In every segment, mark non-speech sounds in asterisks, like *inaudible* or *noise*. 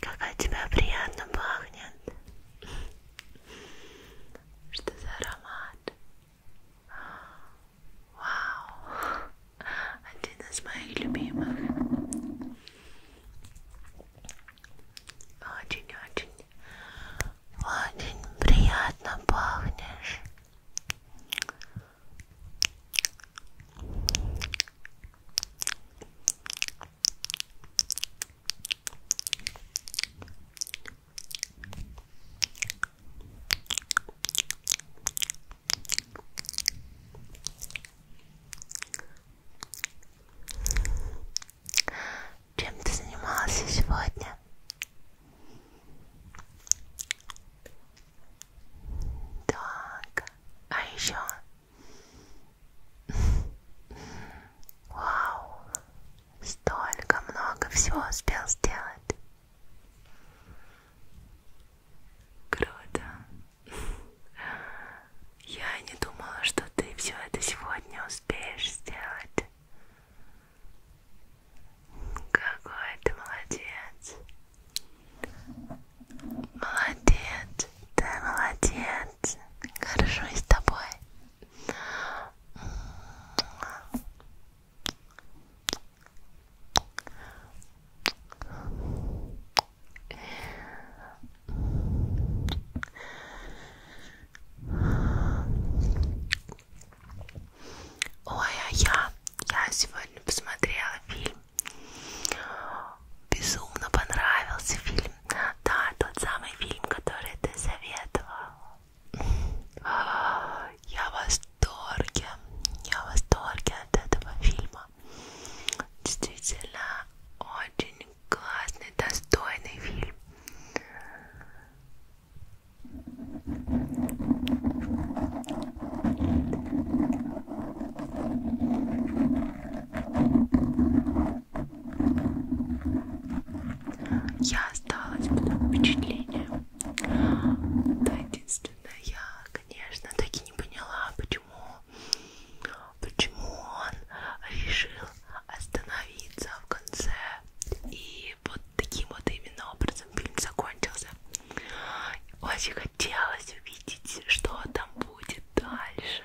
Как от тебя приятно пахнет. Что за аромат? Вау! Один из моих любимых. Очень-очень, очень приятно пахнешь. Чем ты занимался сегодня? Так, а еще? Вау, столько много всего успел сделать. Круто. Я не думала, что ты все это сегодня успеешь сделать. Какой ты молодец. Молодец. Ты молодец. Горжусь тобой. Ой, а я, я сегодня посмотрела фильм, безумно понравился фильм, да, тот самый фильм, который ты советовал. А, я в восторге, я в восторге от этого фильма. Действительно, очень классный, достойный фильм я осталась под впечатлением. Да, единственное, я, конечно, так и не поняла, почему, почему он решил остановиться в конце. И вот таким вот именно образом фильм закончился. Очень хотелось увидеть, что там будет дальше.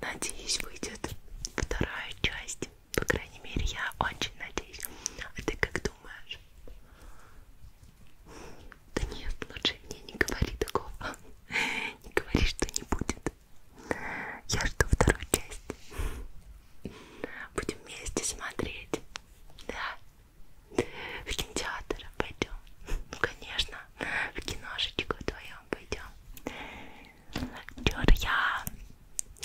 Надеюсь, выйдет вторая часть. По крайней мере, я очень надеюсь. А ты как думаешь? Да нет, лучше мне не говори такого. *laughs* Не говори, что не будет. Я жду вторую часть. Будем вместе смотреть. Да. В кинотеатр пойдем. Ну, конечно, в киношечку твоем пойдем. Чёрт, я...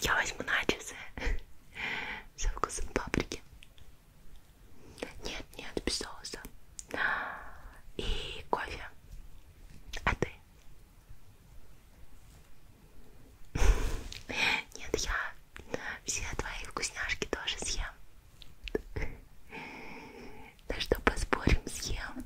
Я возьму начосы *laughs* со вкусом паприки. Нет, нет, без соуса. И кофе. А ты? *laughs* Нет, я все твои вкусняшки тоже съем. *laughs* Да что, поспорим, съем.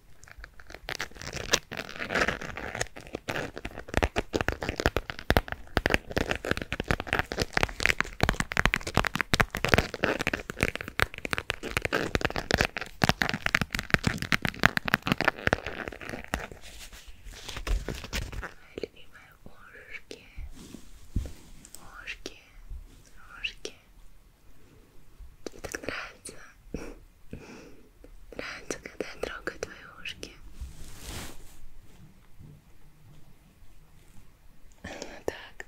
Любимые ушки, ушки, ушки, мне так нравится. Нравится, когда я трогаю твои ушки. Вот так.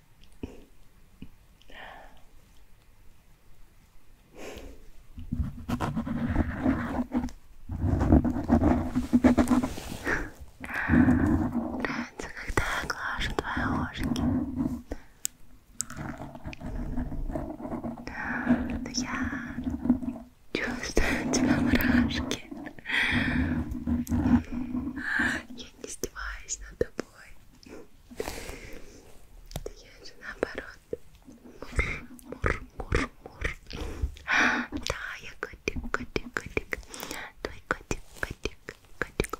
Нравится, когда я глажу твои ушки. Но я чувствую у *laughs* тебя мурашки. Я не издеваюсь над тобой. Я же наоборот. Мур, мур, мур, мур. Да, я котик, котик, котик. Твой котик, котик, котик.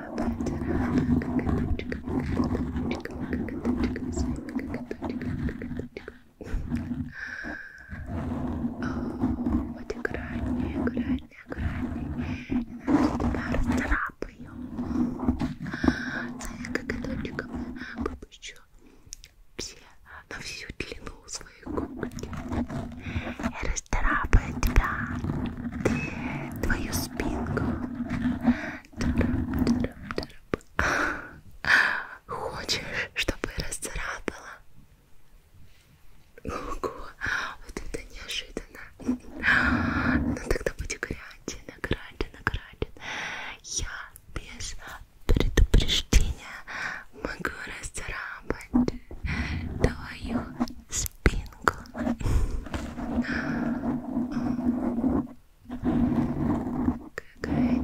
Вот аккуратнее, аккуратнее, аккуратнее. Иначе тебя расцарапаю. Своими коготочками выпущу все на всю длину своей когти. И расцарапаю тебя, твою спинку. Хочешь, чтобы расцарапала? Ого, вот это неожиданно. Ну тогда будь гряден, гряден, гряден. Я без предупреждения могу расцарапать твою спинку. Какая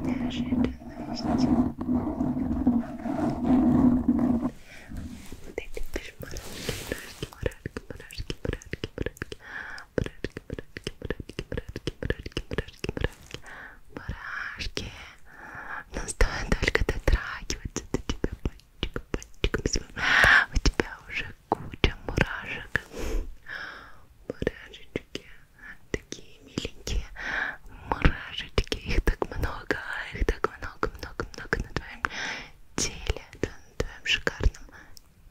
неожиданность. Вот эти пешмарашки, мурашки, мурашки, мурашки, мурашки, мурашки, мурашки, мурашки, мурашки, мурашки, мурашки, мурашки, мурашки. Но стоит только дотрагиваться до тебя пальчиком, пальчиком своим. У тебя уже куча мурашек мурашечки такие миленькие мурашечки их так много их так много много много на твоем теле да, на твоем шикарном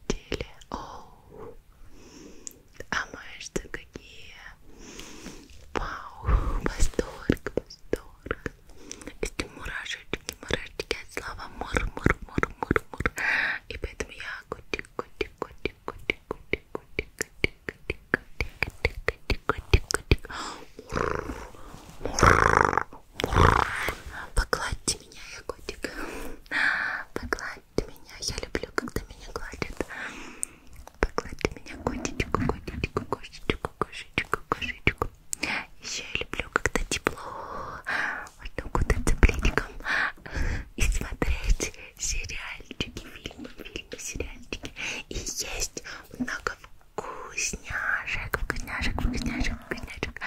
теле Оу. а мышцы какие вау восторг восторг эти мурашечки мурашки, мурашки, от слова мур-мур-мур-мур-мур. И поэтому я котик, котик, котик, котик, котик, котик, котик, котик, котик, котик, котик, мур, мур, Погладьте меня, я котик. Погладьте меня, я люблю, когда меня гладят. Погладьте меня, котичку, котичку, кошечку, кошечку, кошечку. Еще я люблю, когда тепло. Можно ну укутаться пледиком и смотреть сериальчики, фильмы, фильмы, сериальчики. И есть много вкусняшек, вкусняшек, вкусняшек, вкусняшек.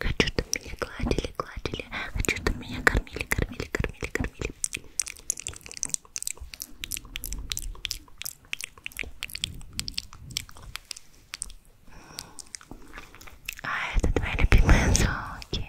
Хочу, чтобы меня гладили, гладили. Хочу, чтобы меня кормили, кормили, кормили, кормили. А это твои любимые звуки.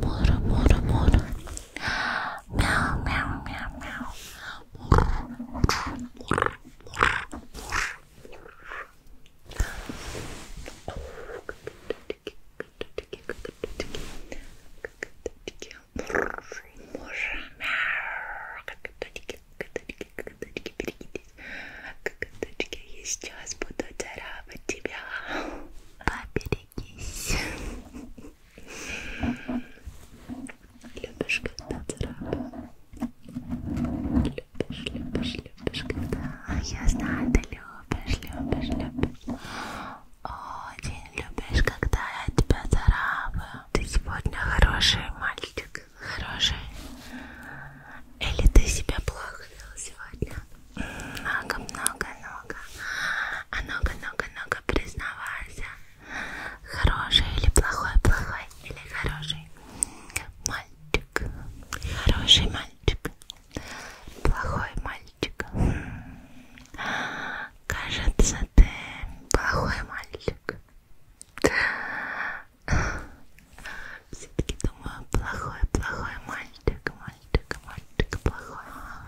More, more, more. Meow, meow, meow, meow. Коточки, коточки, берегитесь. Коточки, я сейчас буду царапать тебя. Поберегись. Любишь, когда царапаю? Любишь, любишь, любишь, когда... А я знаю, ты любишь, любишь, любишь. Очень любишь, когда я тебя царапаю. Ты сегодня хороший мальчик. Хороший. Или ты себя плохо вел сегодня? Много, много, много. А много, много, много признавайся. Хороший или плохой, плохой или хороший? Мальчик. Хороший мальчик. Плохой мальчик. Кажется, ты плохой мальчик. Все-таки думаю, плохой, плохой мальчик, мальчик, мальчик, плохой.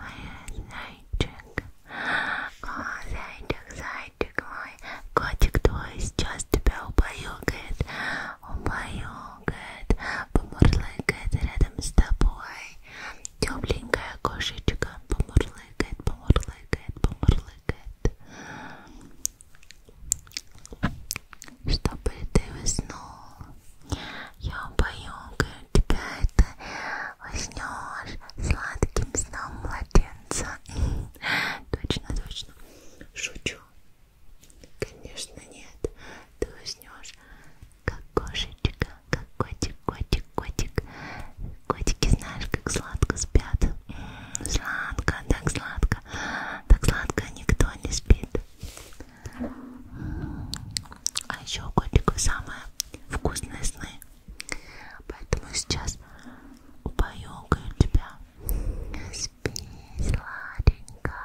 Ой, зайчик, О, зайчик, зайчик мой. Котик твой сейчас тебя убаюкает, убаюкает, помурлыкает рядом с тобой. Тепленькая кошечка помурлыкает, помурлыкает, помурлыкает. чтобы ты уснула. Я поюкаю тебя, это уснешь сладким сном младенца. *laughs* Точно, точно. Шучу. Конечно нет. Ты уснешь как кошечка, как котик, котик, котик. Котики знаешь, как сладко спят. М -м, сладко, так сладко. Так сладко никто не спит. А еще у котиков самые вкусные сны. Поэтому сейчас упоёкаю тебя. Спи, сладенько.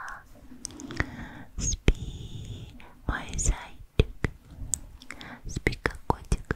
Спи, мой зайчик. Спи, как котик.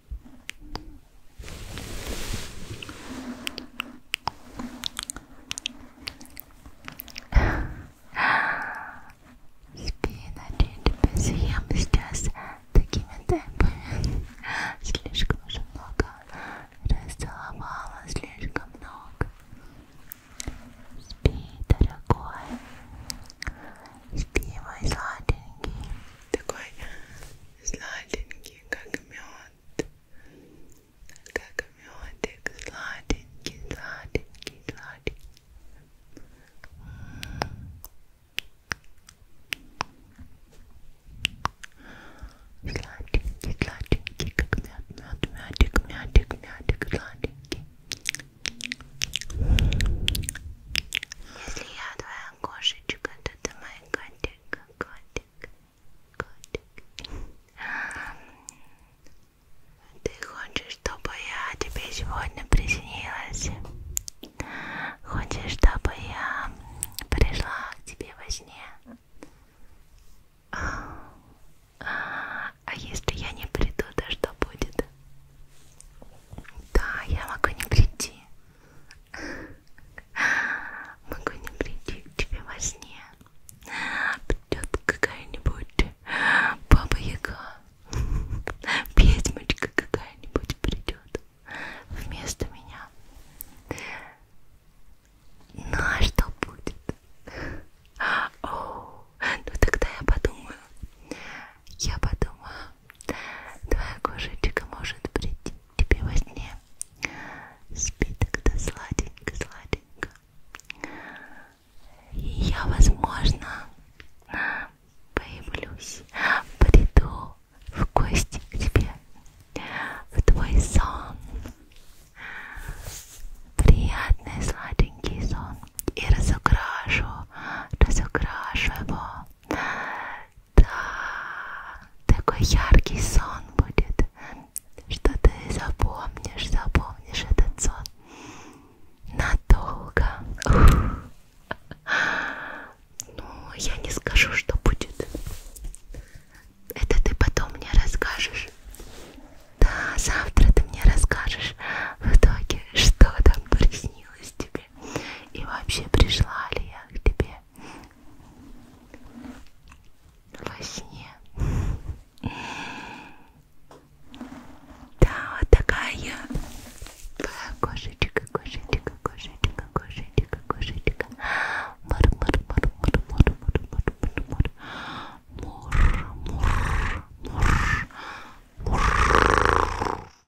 Спиночки тебя съем сейчас такими темпами. Слишком уже много расцеловала, слишком много. Спи, дорогой. Спи, мой сладенький. Такой сладенький, как мед, как медик, сладенький, сладенький, сладенький. Сладенький, сладенький, как мед, мед, мятик, мятик, мятик, сладенький. Если я твоя кошечка, то ты моя котя. котик, котик, котик. Ты хочешь, чтобы я тебе сегодня приснилась? Хочешь, чтобы я пришла к тебе во сне? А, а если я не приду, то что будет? Да, я могу не прийти. Могу не прийти к тебе во сне. Придет какая-нибудь баба-яга. Петьмочка какая-нибудь придет вместо меня. Ну а что будет? О, ну тогда я подумаю. Я подумаю. Твоя кошечка может прийти тебе во сне. Спи тогда сладенько, сладенько. И я, возможно, появлюсь, приду в гости к тебе, в твой сон. Приятный сладенький сон. И разукрашу, разукрашу его да, такой яркий сон будет, что ты запомнишь, запомнишь этот сон надолго. Ну, я не скажу, что будет. Это ты потом мне расскажешь. Да, завтра ты мне расскажешь в итоге, что там приснилось тебе тебе? И вообще пришла ли я к тебе во сне? Да, вот такая я. Кошечка, кошечка, кошечка, кошечка, кошечка. Мур, мур, мур, мур, мур, мур, мур, мур, мур, мур, мур, мур, мур.